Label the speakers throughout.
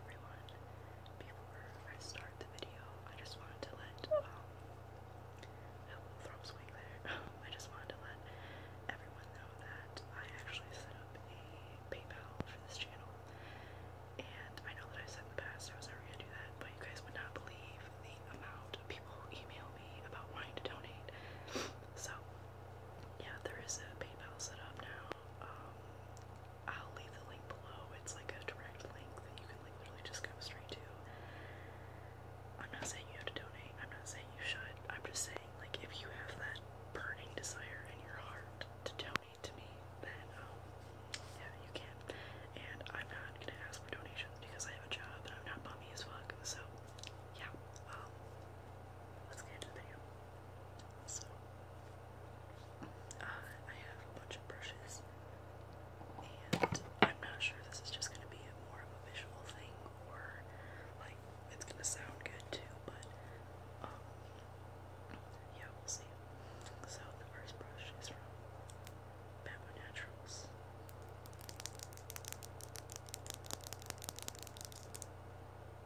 Speaker 1: everyone. Before I start the video, I just wanted to let um, I just wanted to let everyone know that I actually set up a PayPal for this channel. And I know that I said in the past I was never gonna do that, but you guys would not believe the amount of people who email me about wanting to donate. so yeah, there is a PayPal set up now. Um, I'll leave the link below. It's like a direct link that you can literally just go straight to. I'm not saying you have to donate. I'm not saying you should. I'm just saying like if you have that burning desire in your heart to donate to me, then um, yeah, you can. And I'm not gonna ask for donations because I have a job and I'm not bummy as fuck. So yeah, um, let's get into the video. So, uh, I have a bunch of brushes, and I'm not sure this is just going to be more of a visual thing or like it's going to sound good too, but um, yeah, we'll see. So, the first brush is from Bamboo Naturals.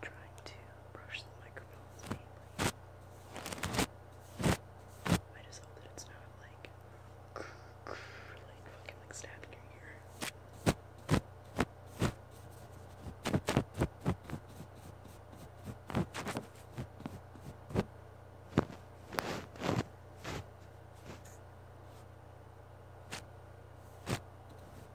Speaker 1: trying to brush the microphones mainly. I just hope that it's not like like fucking like stabbing your ear.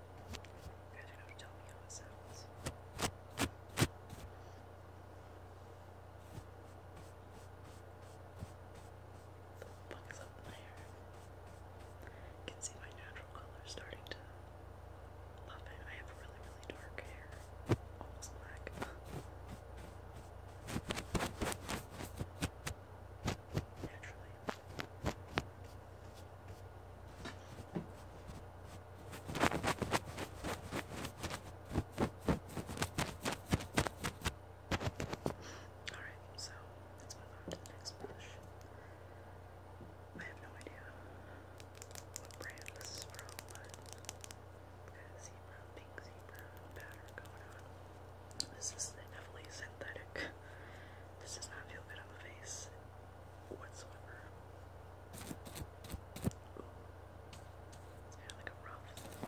Speaker 1: You The book is up in my hair. You can see my natural color starting to love it. I have really, really dark hair. Almost black. Naturally. Alright, so let's next brush. I have no idea what brand this is from, but zebra, pink zebra pattern going on. This is definitely synthetic. This does not feel good on the face whatsoever. Ooh. It's like a rough version.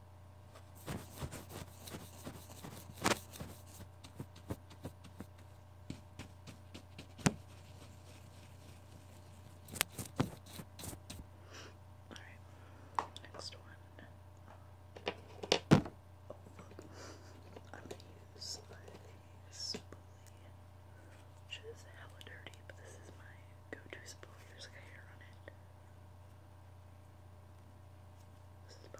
Speaker 1: All right, next one. I'm gonna use a spoolie, which is hella dirty, but this is my go-to spoolie. There's like hair on it. This is Pro.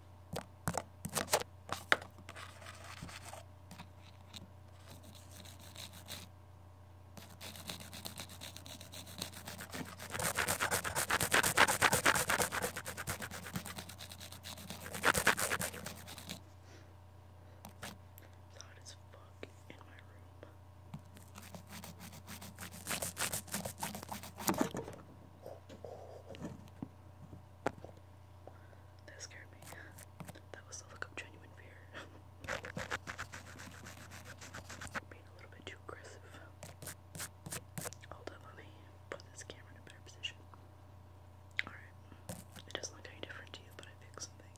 Speaker 1: Loud as fuck in my room. That scared me. That was the look of genuine fear. Being a little bit too aggressive. Hold up, let put this camera in a better position. Alright. It doesn't look any different to you, but I fixed some things.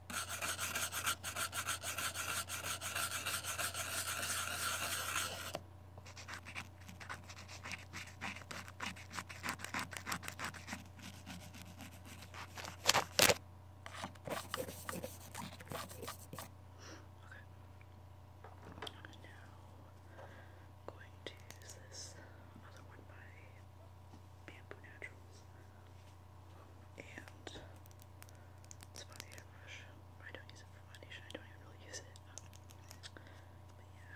Speaker 1: I'm now going to use this other one by Bamboo Naturals. And it's about the I don't use it for foundation, I don't even really use it. But yeah.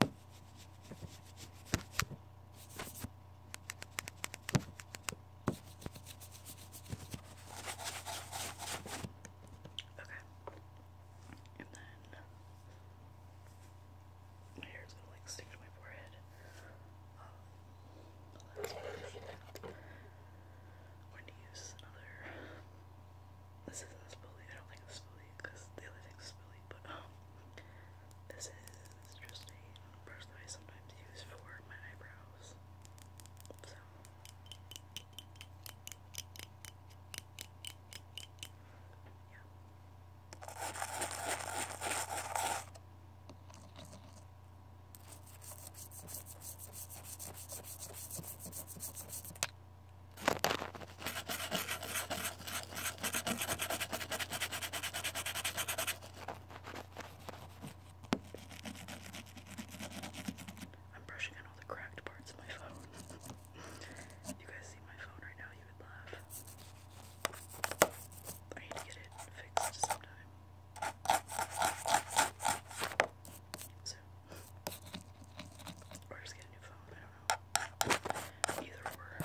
Speaker 1: and then my hair is gonna like stick to my forehead. Um, to use another this isn't a spoolie. I don't think it's a spoolie because the other thing's a spoolie. But um, this is just a brush that I sometimes use for my eyebrows. So. Yeah. I'm brushing on all the cracked parts of my phone. you guys see my phone right now, you would laugh. I need to get it fixed sometime. So, or just get a new phone, I don't know. Either or.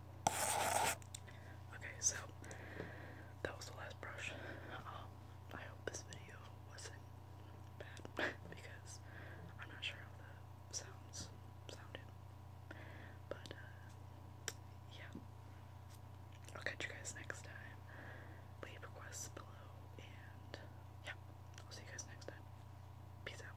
Speaker 1: Okay, so that was the last brush. Um, I hope this video wasn't bad because I'm not sure how the sounds sounded. But uh, yeah, I'll catch you guys next time. Leave requests below, and yeah, I'll see you guys next time. Peace out.